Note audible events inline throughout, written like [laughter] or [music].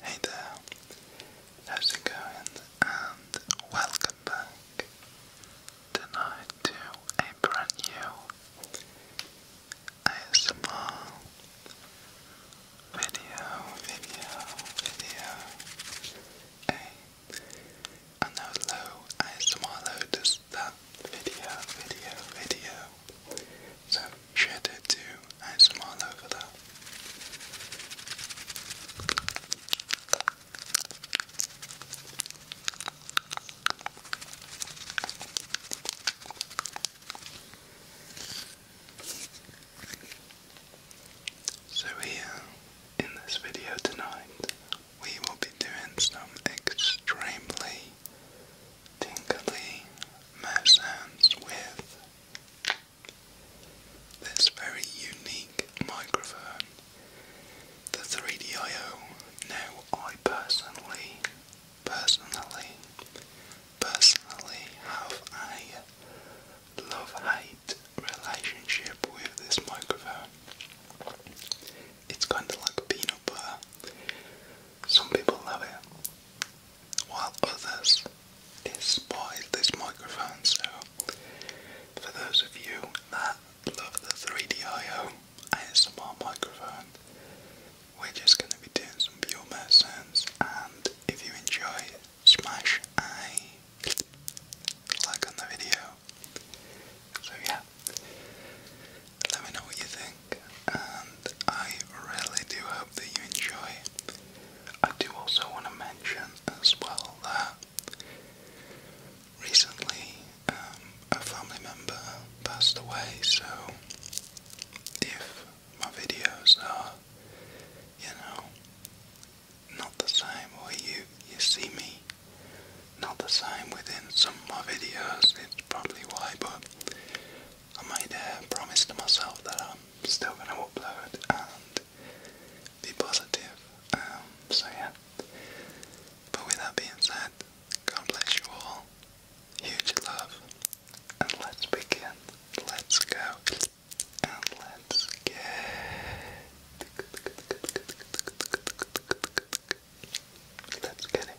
Hey there, how's it going? And welcome back tonight to a brand new ASMR video, video, video. Hey, I low ASMR low that video, video, video. So share it too. I smile over that. So here in this video tonight we will be doing some extremely tingly mouth with this very unique microphone, the 3DIO. Now, I personally, personally, personally have a love hate relationship with this microphone. It's kind of like peanut butter. Some people love it, while others despise this microphone. So, for those of you that love the 3DIO ASMR microphone, we're just going to be doing some pure mouth And if you enjoy, smash a like on the video. So, yeah let me know what you think, and I really do hope that you enjoy. I do also want to mention as well that recently um, a family member passed away, so if my videos are, you know, not the same, or you you see me not the same within some of my videos, it's probably why, but I made a uh, promise to myself that I'm still going to upload and be positive, um, so yeah. But with that being said, congratulations, all, huge love, and let's begin, let's go, and let's get... Let's get it.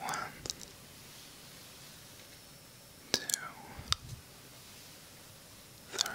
One, two, three. One,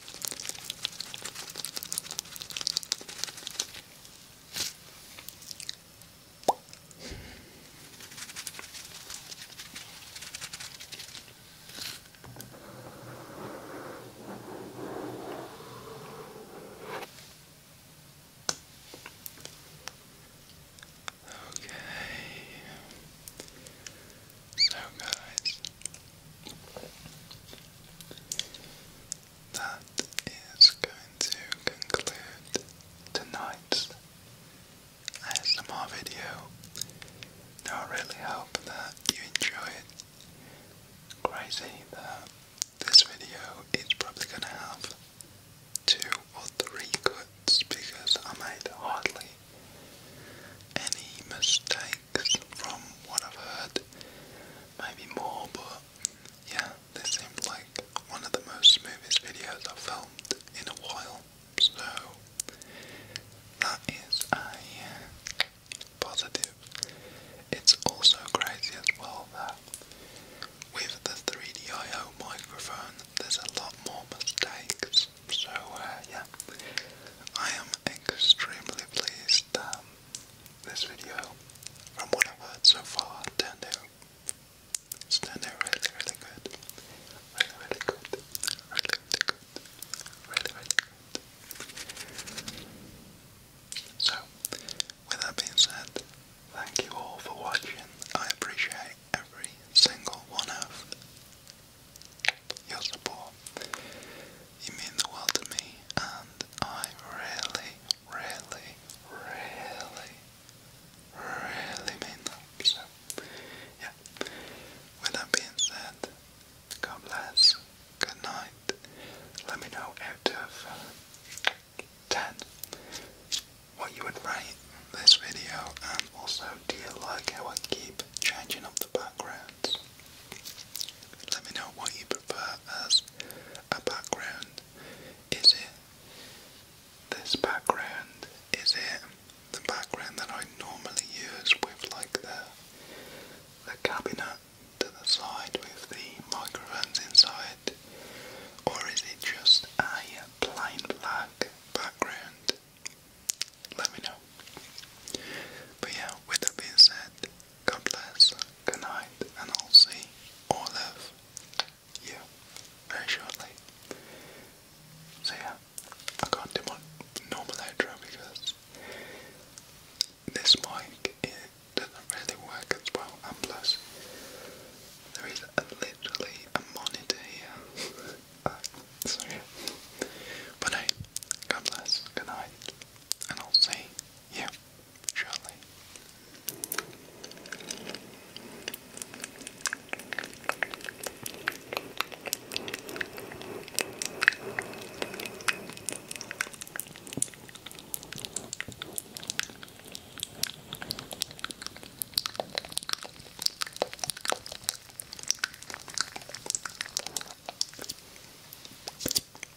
Okay. So guys, that is going to conclude tonight's ASMR video. Now I really hope that you enjoyed. Crazy that this video is probably gonna have two or three cuts because I made hardly any mistakes six from what I've heard. Maybe more, but yeah, this seemed like one of the most smoothest videos I've filmed in a while. So that is a positive. It's also crazy as well that with the 3DIO microphone there's a lot more mistakes. So uh, yeah, I am extremely pleased this video, from what I've heard so far, turned there, it's turned really, really good. Really, really good. Really, really good. Really, really good. So, with that being said, thank you all for watching. I appreciate every single one of your support. You mean the world to me, and I really, really, really, really mean that. So, yeah. With that being said, God bless. Good night. Let me know out of 10 what you would rate this video, and also do you like how I keep changing up the backgrounds? Let me know what you prefer as a background. Is it this background? Is it the background that I normally use with like the the cabinet to the side with the microphones inside? Or is it just a plain black background? Let me know. But yeah, with that being said, God bless, good night, and I'll see or live you very shortly. So yeah, I can't do my normal outro because this mic it doesn't really work as well, and plus there is a, literally a monitor here. [laughs] uh, so yeah, but hey, God bless, good night, and I'll see you shall we?